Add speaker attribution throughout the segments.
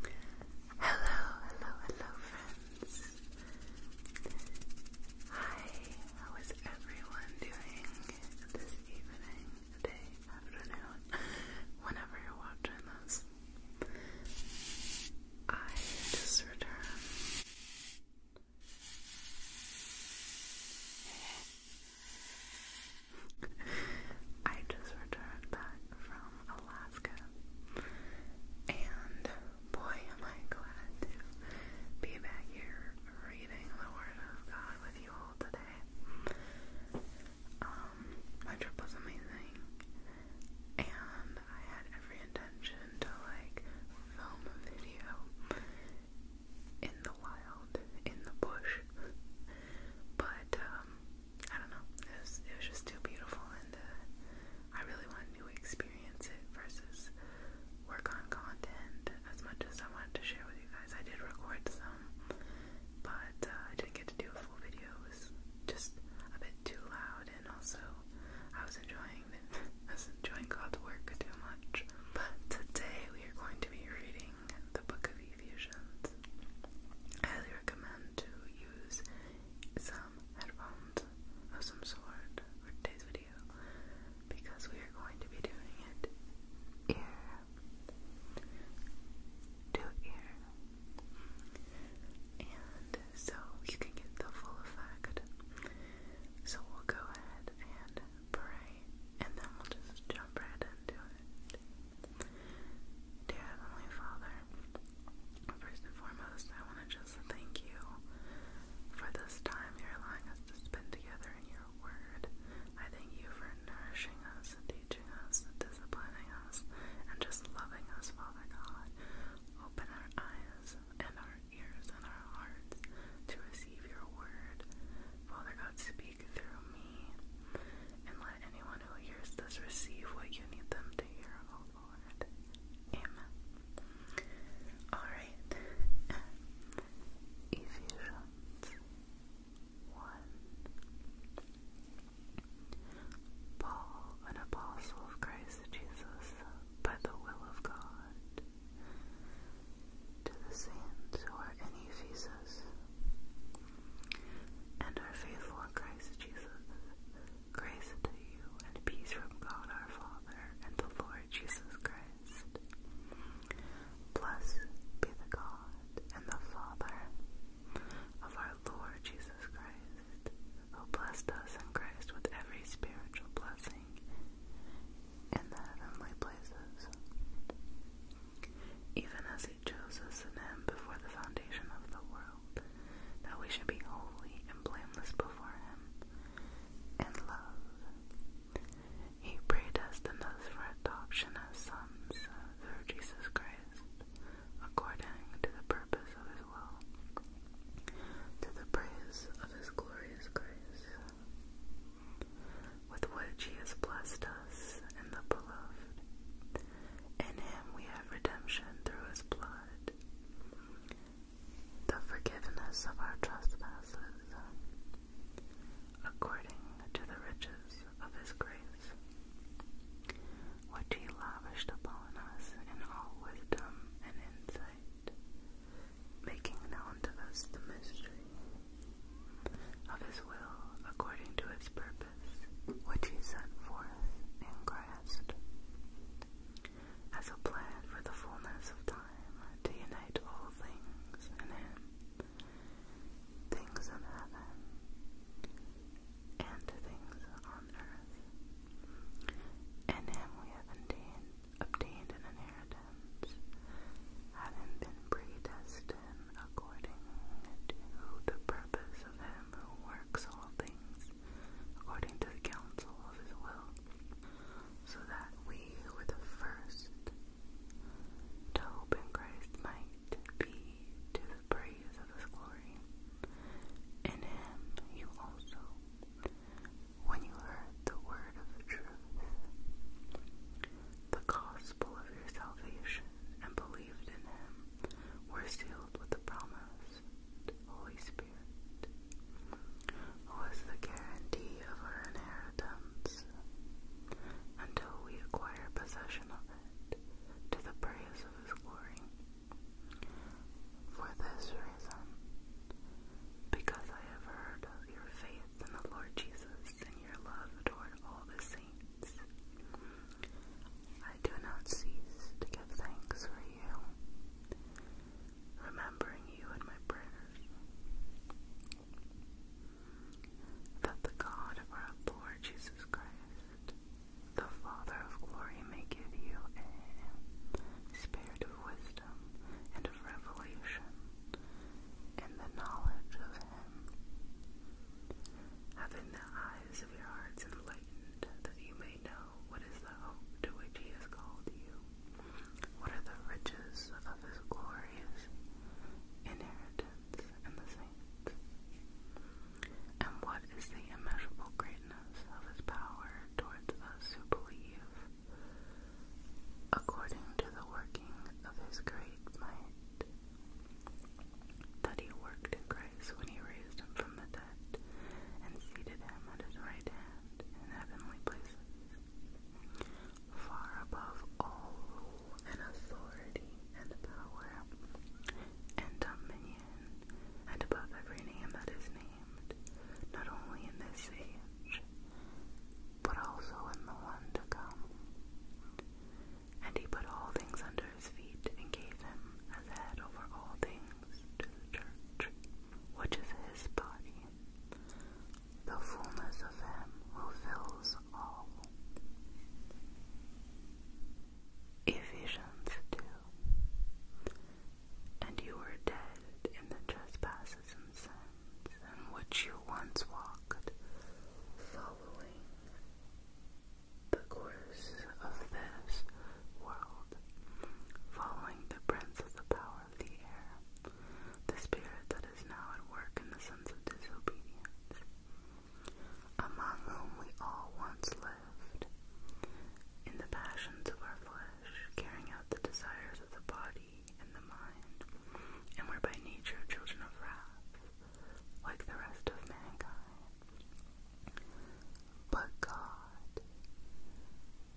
Speaker 1: Hello, hello, hello, friends. Hi, how is everyone doing this evening, day, afternoon, whenever you're watching this? I just returned. I just returned back from Alaska and boy, am I glad to be back here reading the Word of God with you all today. Um, my trip was amazing, and I had every intention to like film a video in the wild, in the bush, but um, I don't know. It was just too beautiful, and uh, I really wanted to experience it versus work on content as much as I wanted to share with you guys. I did record some, but uh, I didn't get to do a full video. It was just a bit too loud, and also I was enjoying enjoying God's work too much. But today we are going to be reading the Book of Ephesians. highly recommend to use some headphones of some sort for today's video because we are going to be doing it ear to ear. And so you can get the full effect. So we'll go ahead and pray and then we'll just jump right into it. Dear Heavenly Father, first and foremost, I want to just thank you for this time you're allowing us to spend together in your word. I thank you for nourishing us teaching us disciplining us and just loving us, Father God. Open our eyes and our ears and our hearts to receive your word. Father God, speak through me and let anyone one who hears receive what you need them to hear, oh Lord. Amen. Alright. Ephesians 1. Paul, an apostle of Christ Jesus, by the will of God, to the saints who are in Ephesus and our faithful in Christ. Christ Jesus. Grace to you and peace from God our Father and the Lord Jesus Christ. Blessed be the God and the Father of our Lord Jesus Christ, who blessed us in Christ with every spiritual blessing in the heavenly places, even as He chose us in Him before the foundation of the world that we should be holy and blameless before Him in love. He predestined us for adoption as sons through Jesus Christ, according to the purpose of His will, to the praise of His glorious grace, with which He has blessed us in the Beloved. In him we have redemption through his blood, the forgiveness of our trespasses, according to the riches of his grace, which he lavished upon us in all wisdom and insight, making known to us the mystery of his will according to his purpose which he set forth and grasped as a plan for the fullness of time to unite all things in him, things in heaven, and things on earth. In him we have obtained, obtained an inheritance, having been predestined according to the purpose of him who works all things according to the counsel of his will, so that we who were the first to hope in Christ might be to the praise of his glory. In him you also, when you heard the word of truth, the gospel of your salvation, and believed in him were sealed with the promise Holy Spirit, who is the guarantee of our inheritance until we acquire possession of it to the praise of his glory. For this reason, because I have heard of your faith in the Lord Jesus and your love toward all the saints, I do not cease to give thanks for you, remembering you in my prayers. That the God of our Lord Jesus Christ, the Father of glory, may give you a spirit of wisdom and of revelation in the knowledge of Him, having the eyes of your hearts enlightened, that you may know what is the hope to which he has called you, what are the riches of his glorious inheritance in the saints, and what is the immeasurable greatness of his power toward us who believe, according to the working of his great might that he worked in Christ when he raised him from the dead and seated him at his right hand in heavenly places, far above all rule and authority and power and dominion, and above every name that is named, not only in this age, but also in the one to come. And he put all things under his feet, and gave him as head over all things to the church, which is his body, the fullness of him who fills all. Ephesians 2 And you were dead in the trespasses and sins in which you once walked, following the course of this world, following the prince of the power of the air, the spirit that is now at work in the sons of disobedience, among whom we all once lived, in the passions of our flesh, carrying out the desires of the body and the mind, and were by nature children of wrath like the rest of mankind. But God,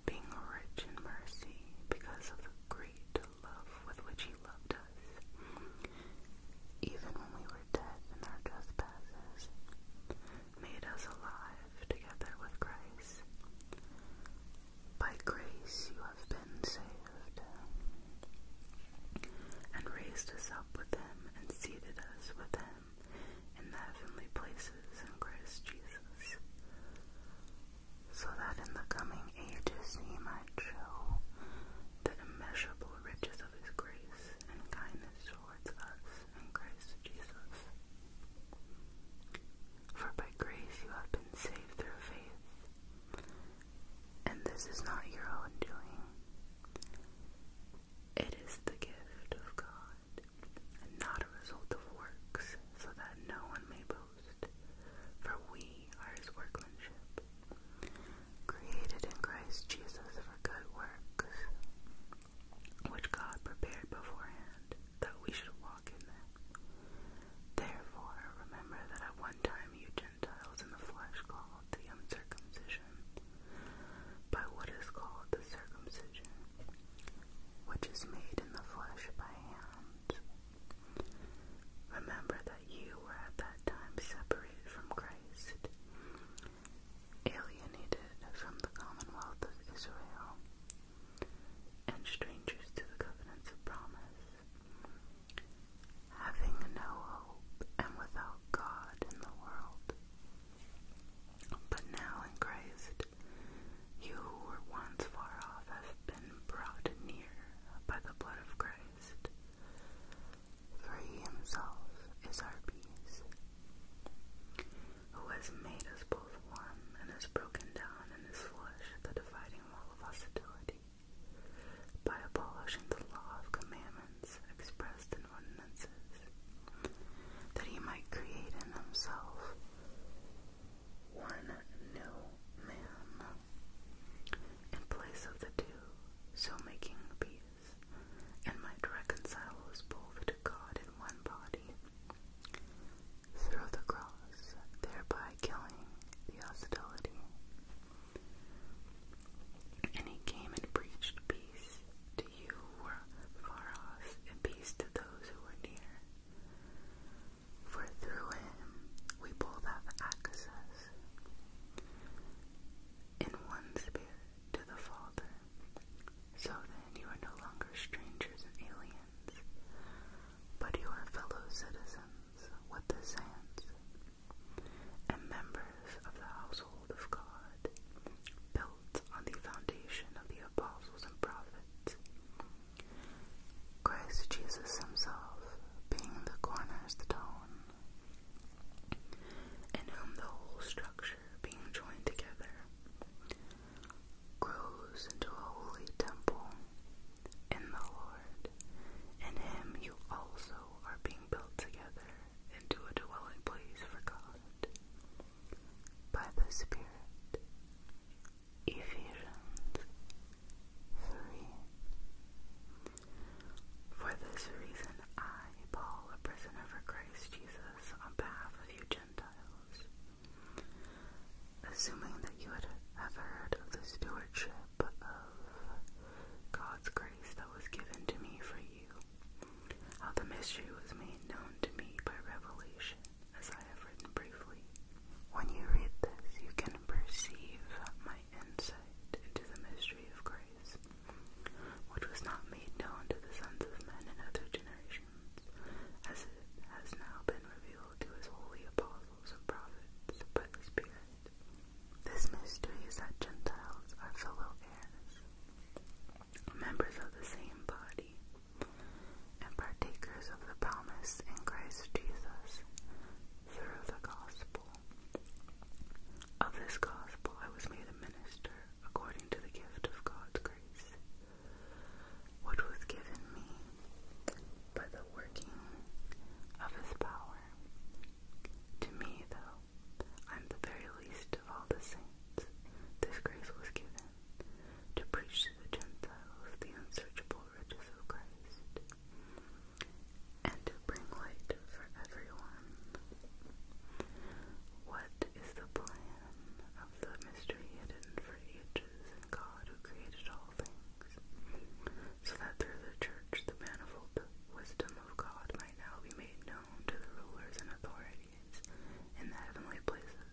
Speaker 1: being rich in mercy because of the great love with which He loved us, even when we were dead in our trespasses, made us alive together with Christ. By grace you have been saved, and raised us up with Him and seated us with him in the heavenly places in Christ Jesus, so that in the coming age to see might show the immeasurable riches of his grace and kindness towards us in Christ Jesus. For by grace you have been saved through faith, and this is not your own doing. It is the gift of God, and not a result of works, so that no one may boast. For we are his workmanship, created in Christ Jesus for good works, which God prepared beforehand that we should walk in them. Therefore, remember that at one time you Gentiles in the flesh called the uncircumcision, by what is called the circumcision, which is made in the flesh by hands. Remember that you were at that time separated from Christ, alienated from the commonwealth of Israel, and strangers to the covenants of promise having no hope and without God in the world. But now in Christ, you who were once far off have been brought near by the blood of Christ, for he himself is our peace, who has made us both one and has broken down in his flesh the dividing wall of hostility by abolishing the law of commandments expressed in ordinances, that he might create in himself one new man in place of the two, so making peace, and might reconcile us both to God in one body through the cross, thereby killing the hostility. And he came and preached peace to you who were far off, and peace to those who were near. For through him we both have access in one spirit to the Father. So then you are no longer strangers and aliens, but you are fellow citizens with the saints and members of the household of God, built on the foundation of the apostles and prophets, Christ Jesus Himself being the cornerstone, in whom the whole structure being joined together grows into a holy temple in the Lord. In Him you also are being built together into a dwelling place for God by the Spirit. Ephesians 3. For this reason, I, Paul, a prisoner for Christ Jesus, on behalf of you Gentiles, assuming that you would ever heard of the stewardship of God's grace that was given to me for you, how the mystery was made known to me by revelation, as I have written briefly. When you read this, you can perceive my insight into the mystery of grace, which was not made known to the sons of men in other generations, as it has now been revealed to his holy apostles and prophets by the Spirit. This mystery is that Gentiles are fellow heirs, members of the same body, and partakers of the promise in Christ Jesus through the gospel. Of this gospel I was made a minister according to the gift of God's grace, which was given me by the working of his power. To me, though, I'm the very least of all the saints, this grace was given to preach to the Gentiles the unsearchable riches of Christ and to bring light for everyone. What is the plan of the mystery hidden for ages in God who created all things, so that through the church the manifold wisdom of God might now be made known to the rulers and authorities in the heavenly places.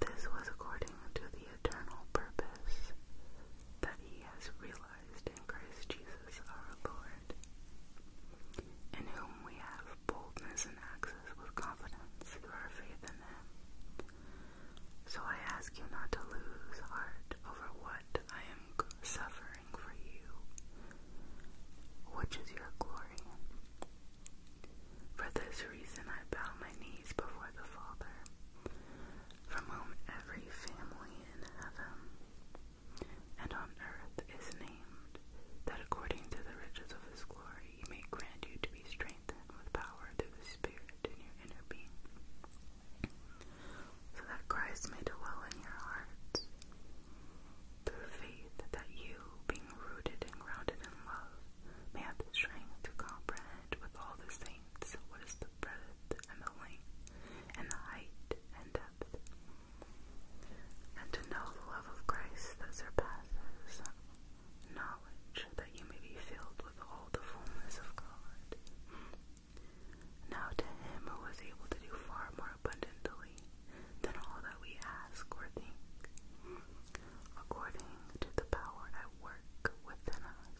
Speaker 1: This was according to the eternal purpose that he has realized in Christ Jesus our Lord, in whom we have boldness and access with confidence through our faith in him. So I ask you not to lose heart over what I am suffering for you, which is your glory. For this reason I bow my knees before the Father, from whom every family in heaven and on earth is named, that according to the riches of his glory he may grant you to be strengthened with power through the Spirit in your inner being so that Christ may dwell in your hearts through faith that you, being rooted and grounded in love, may have the strength to comprehend with all the saints what is the breadth and the length and the height and depth, and to know the love of Christ that surpasses knowledge, that you may be filled with all the fullness of God. Now to him who was able to do far more abundantly than all that we ask or think, according to the power at work within us.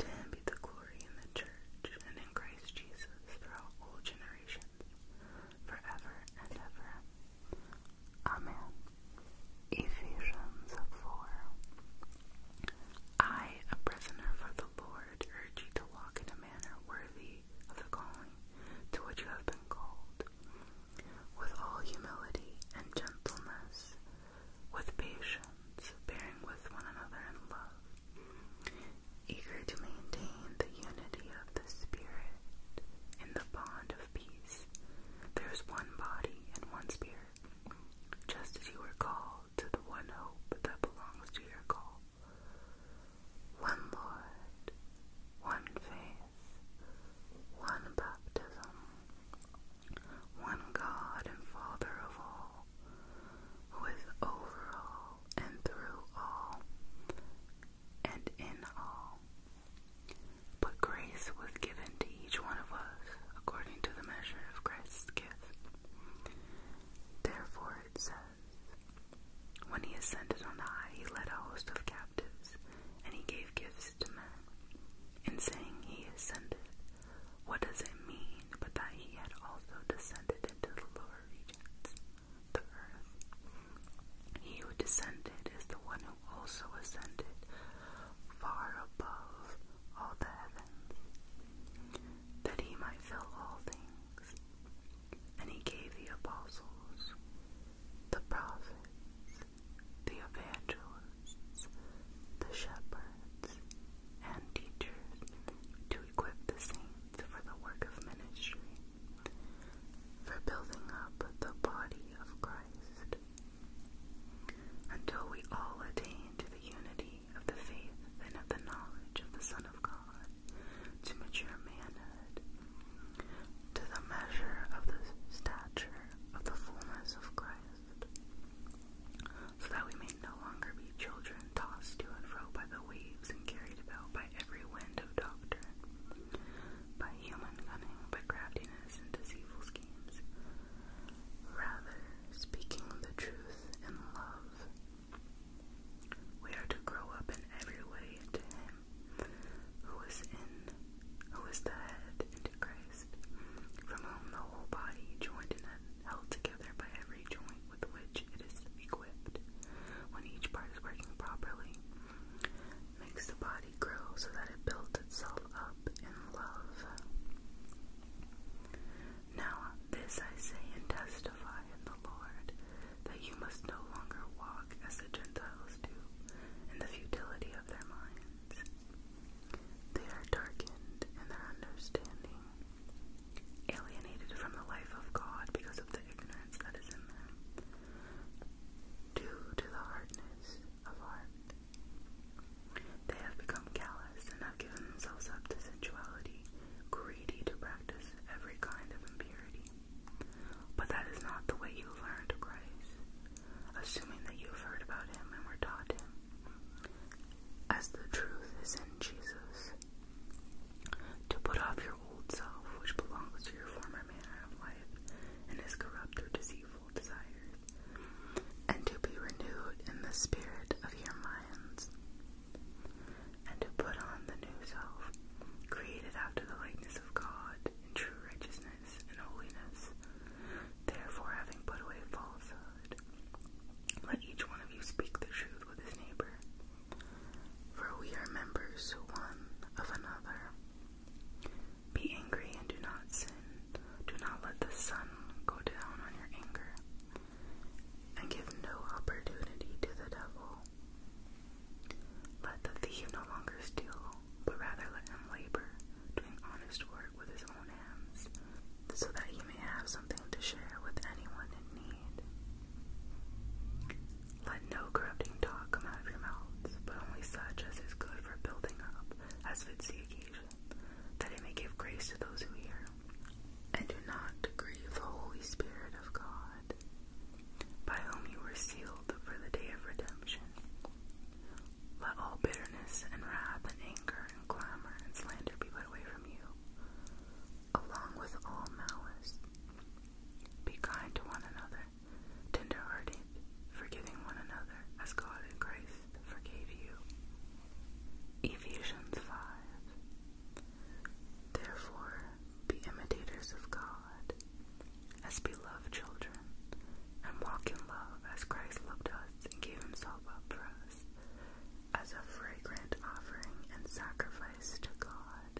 Speaker 1: To him be the glory in the church and in Christ Jesus throughout all generations, forever and ever. Amen. Ephesians 4 I, a prisoner for the Lord, urge you to walk in a manner worthy of the calling to which you have been called, with all humility and gentleness, with patience, bearing with one another in love, eager to maintain the unity of the Spirit in the bond of peace. There is one body and one Spirit just as you were called to the one hope that belongs to your call. One Lord, one faith, one baptism, one God and Father of all, who is over all and through all and in all. But grace was given to each one of us according to the measure of Christ's gift. Therefore it says, When he ascended on high, he led a host of captives, and he gave gifts to men. In saying he ascended, what does it mean but that he had also descended into the lower regions, the earth? He who descended is the one who also ascended far above all the heavens that he might fill all things. And he gave the apostles, the prophets, the evangelists, the shepherds, and teachers to equip the saints for the work of ministry, for building up the body of Christ, until we all attain to the unity of the faith and of the knowledge of the Son of God, to mature manhood, to the measure of the stature of the fullness of Christ, so that we may no longer be children tossed to and fro by the waves and carried about by every wind of doctrine, by human cunning, by craftiness and deceitful schemes. Rather, speaking the truth in love. We are to grow up in every way into Him who is in, who is the head, into Christ, from whom the whole body, joined and held together by every joint with which it is equipped, when each part is working properly, makes the body grow so that it builds itself up in love. Now this I say and testify in the Lord, that you must no longer walk as the Gentiles do, in the futility of their minds. They are darkened in their understanding, alienated from the life of God because of the ignorance that is in them, due to the hardness of heart. They have become callous and have given themselves up to sensuality, greedy to practice every kind of impurity. But that is not the way you learned Christ, assuming that you have heard about him and were taught him, as the truth is in Jesus. To put off your old self, which belongs to your former manner of life and is corrupt through deceitful desires and to be renewed in the spirit of your minds, and to put on the new self, created after the likeness of God, in true righteousness and holiness. Therefore, having put away falsehood, let each one of you speak the truth with his neighbor, for we are members one of another. Be angry and do not sin. Do not let the sun go down on your anger, and give no opportunity to the devil. Let the thief no longer steal, but rather let him labor, doing honest work with his own hands, so that he may have something to share with anyone in need. Let no corrupting talk come out of your mouths, but only such as is good for building up, as fits the occasion, that it may give grace to those who hear and do not grieve the Holy Spirit of God, by whom you were sealed for the day of redemption. Let all bitterness and wrath and anger and clamor and slander be put away from you, along with all malice. Be kind to one another, tenderhearted, forgiving one another, as God in Christ forgave you. Ephesians 5 Therefore, be imitators of God, as beloved children, and walk in love as Christ loved us and gave himself up for us, as a fragrant offering and sacrifice to God.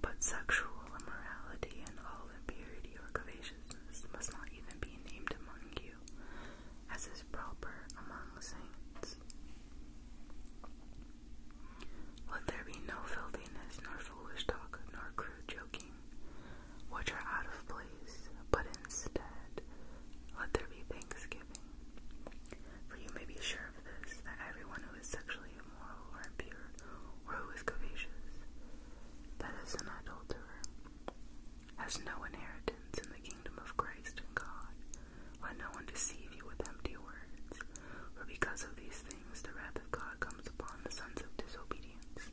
Speaker 1: But sexual immorality and all impurity or covetousness must not even be named among you, as is proper among saints. Let there be no filthiness, nor foolish talk, nor crude joking, which are out of place, but instead let there be thanksgiving. For you may be sure of this, that everyone who is sexually immoral or impure, or who is covetous, that is an adulterer, has no inheritance in the kingdom of Christ and God. Let no one deceive you with empty words, for because of these things the wrath of God comes upon the sons of disobedience.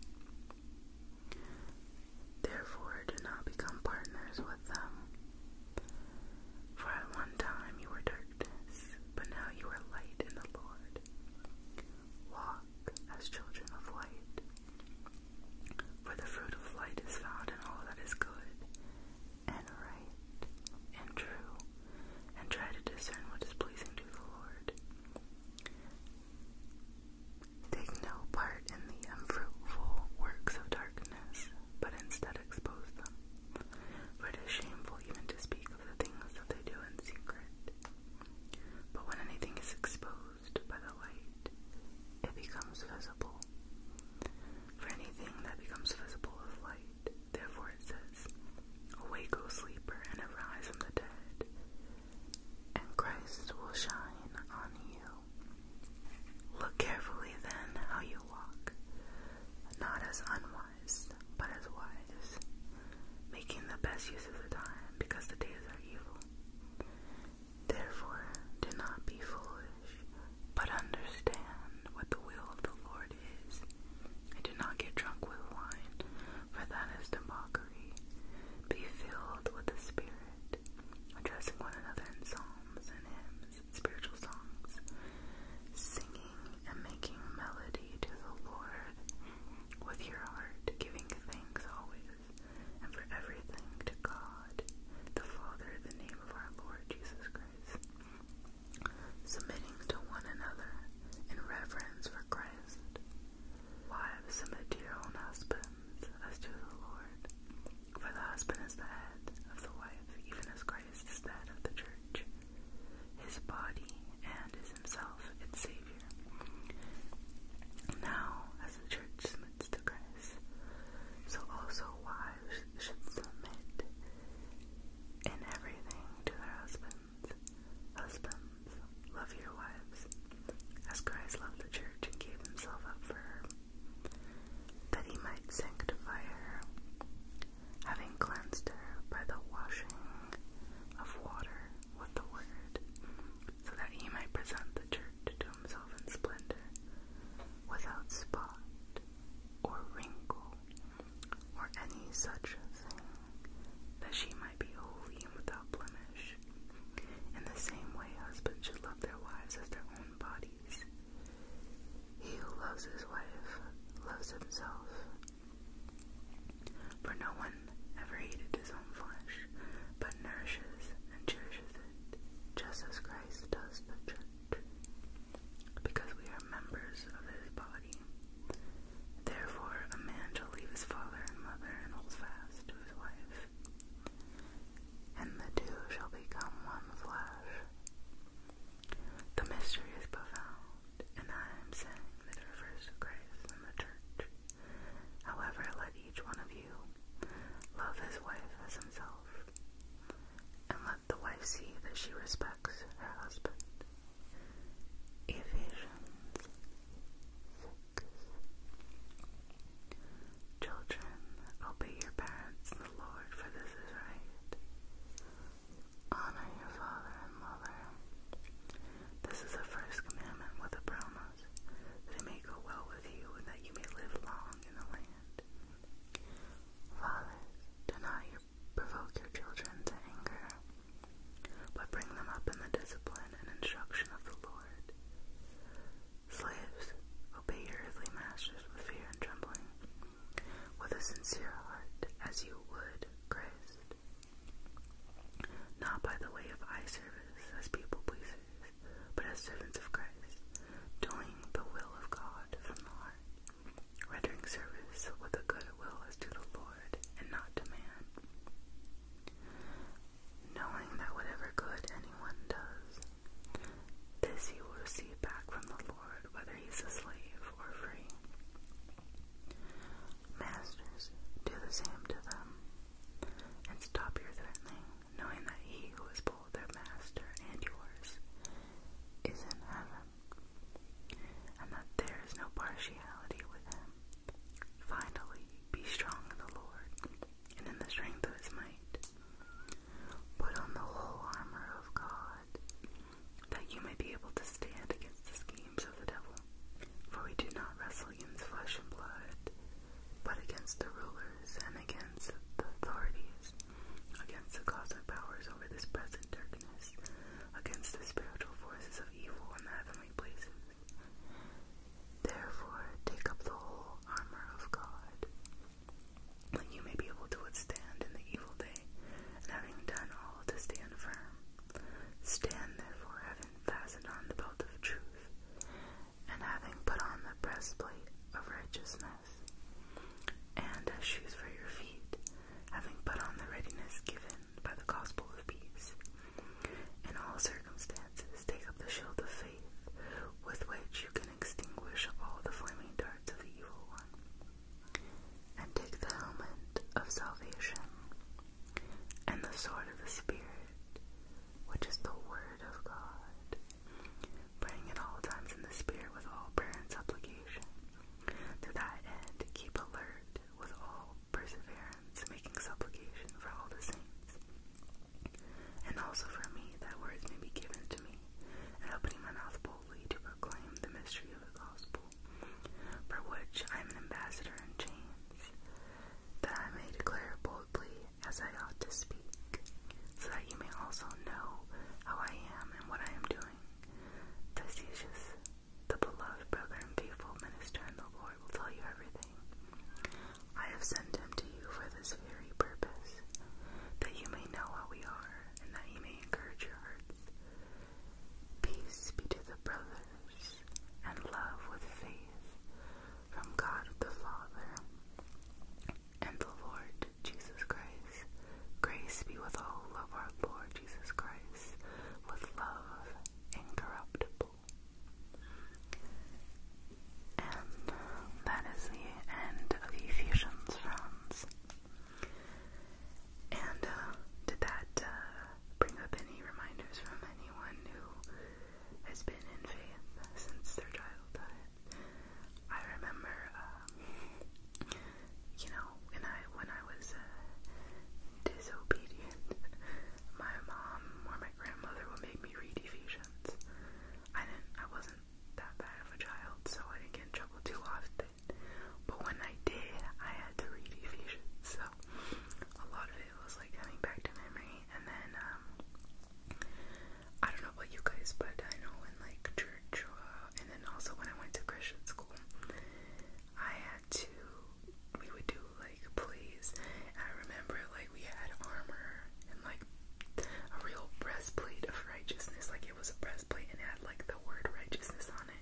Speaker 1: Therefore, do not become partners with them. For at one time you were darkness, but now you are light in the Lord. Walk as children of light. For the fruit of light is found in all that is good and right and true, and try to discern what is pleasing to the Lord. Take no part in the unfruitful works of darkness, but instead expose them. For it is shameful even to speak of the things that they do in secret. But when anything is exposed, by the light, it becomes visible. For anything that becomes visible is light. Therefore it says, Awake, O sleeper, and arise from the dead, and Christ will shine on you. Look carefully then how you walk, not as unwise, but as wise, making the best use of the time, because the days are evil. Therefore, do not be foolish, but understand what the will of the Lord is. And do not get drunk with wine, for that is debauchery. Be filled with the Spirit, addressing one another in psalms and hymns, and spiritual songs, singing and making melody to the Lord with your heart, giving thanks always and for everything to God, the Father, in the name of our Lord Jesus Christ, submitting to one another in reverence for Christ. Wives, submit to your own husbands as to the Lord, for the husband is the head of the wife, even as Christ is the head of the church, his body, and is himself its Savior. Now, as the church submits leads to grace. So also wives should submit in everything to their husbands. Husbands, love your wives, as Christ loved the church and gave himself up for her, that he might sanctify her, having cleansed her by the washing of water with the word, so that he might present the church to himself in splendor, without spot or wrinkle or any such thing, that she might be holy and without blemish. In the same way, husbands should love their wives as their own bodies. He who loves his wife loves himself. For no one ever hated his own flesh, but nourishes and cherishes it, just as Christ does the church, because we are members of his body. Therefore, a man shall leave his father and mother and hold fast to his wife, and the two shall become one flesh. The mystery is profound, and I am saying that it refers to Christ and the church. However, let each one of you love his wife as himself, and let the wife see that she respects her husband. Ephesians Children, obey your parents in the Lord, for this is right. Honor your father and mother. This is the first commandment with a promise eyes, that it may go well with you and that you may live long in the land. Fathers, do not your, provoke your children to anger, but bring them up in the discipline and instruction of the Lord. Slaves, obey your earthly masters with fear and trembling, with a sincere heart, as you would Christ, not by the way of eye service as people pleasers, but as servants of Christ, doing the will of God from the heart, rendering service with a good will as to the Lord and not to man, knowing that whatever good anyone does, this he will receive back from the Lord, whether he is a slave or free. Masters, do the same to them, and stop your threatening knowing that he who is both their master and yours is in heaven, and that there is no partiality with him. Finally, be strong in the Lord and in the strength of his might. Put on the whole armor of God, that you may be able to stand against the schemes of the devil. For we do not wrestle civilians' flesh and blood, but against the rulers and against the authorities, against the cosmic powers over this present darkness, against the spiritual forces of evil in the heavenly places. Therefore, take up the whole armor of God, that you may be able to withstand in the evil day, and having done all, to stand firm. Stand therefore, having fastened on the belt of truth, and having put on the breastplate of righteousness, and a shoes for your feet, having put on the readiness given by the gospel of peace. In all circumstances, take up the shield of faith, with which you can extinguish all the flaming darts of the evil one, and take the helmet of salvation, and the sword of the Spirit, which is the Word of God. Praying at all times in the Spirit with all prayer and supplication. To that end, keep alert with all perseverance, making supplication for all the saints. And also for me, that words may be given to me, and opening my mouth boldly to proclaim the mystery of the gospel, for which I am an ambassador in chains, that I may declare boldly as I ought to speak, so that you may also know how I am and what I am doing. Decius, the beloved brother and faithful minister in the Lord, will tell you everything. I have sent him to you for this very purpose, that you may know how we are, and that you may encourage your hearts. Peace be to the brothers, and love with faith, from God the Father and the Lord Jesus Christ. Grace be with all of our Lord Jesus Christ, with love incorruptible. And that is the end of Ephesians, friends. And uh, did that uh, bring up any reminders from anyone who has been in faith since their childhood. I remember, um, you know, when I when I was uh, disobedient, my mom or my grandmother would make me read Ephesians. I didn't, I wasn't that bad of a child, so I didn't get in trouble too often. But when I did, I had to read Ephesians, so a lot of it it was like coming back to memory. And then, um, I don't know about you guys, but I know in like church, uh, and then also when I went to Christian school, I had to, we would do like plays. I remember like we had armor and like a real breastplate of righteousness. Like it was a breastplate and had like the word righteousness on it.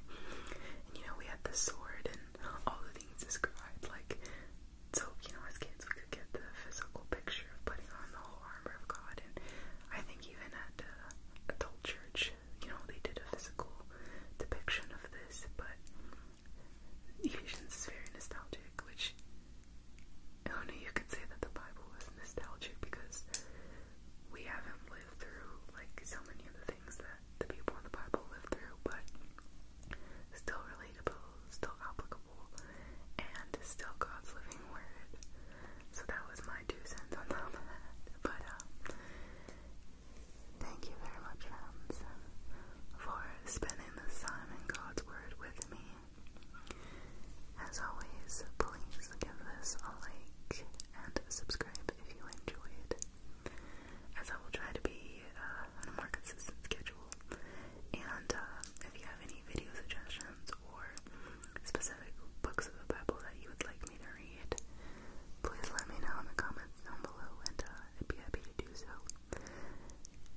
Speaker 1: And you know, we had the sword and all the things described like so, you know, as kids, we could get the physical picture of putting on the whole armor of God. And I think even at uh, adult church, you know, they did a physical depiction of this. But Ephesians is very nostalgic, which only you could say that the Bible was nostalgic because we haven't lived through like so many of the things that the people in the Bible lived through, but still relatable, still applicable and still God's living word. So that was my two cents on top But um, thank you very much, friends, for spending the time in God's word with me. As always, please give this a like and subscribe if you enjoyed. As I will try to be uh, more consistent and uh, if you have any video suggestions or specific books of the Bible that you would like me to read, please let me know in the comments down below, and uh, I'd be happy to do so.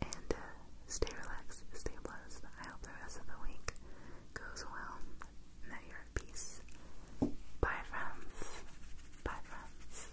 Speaker 1: And uh, stay relaxed, stay blessed. I hope the rest of the week goes well, and that you're at peace. Bye, friends. Bye, friends.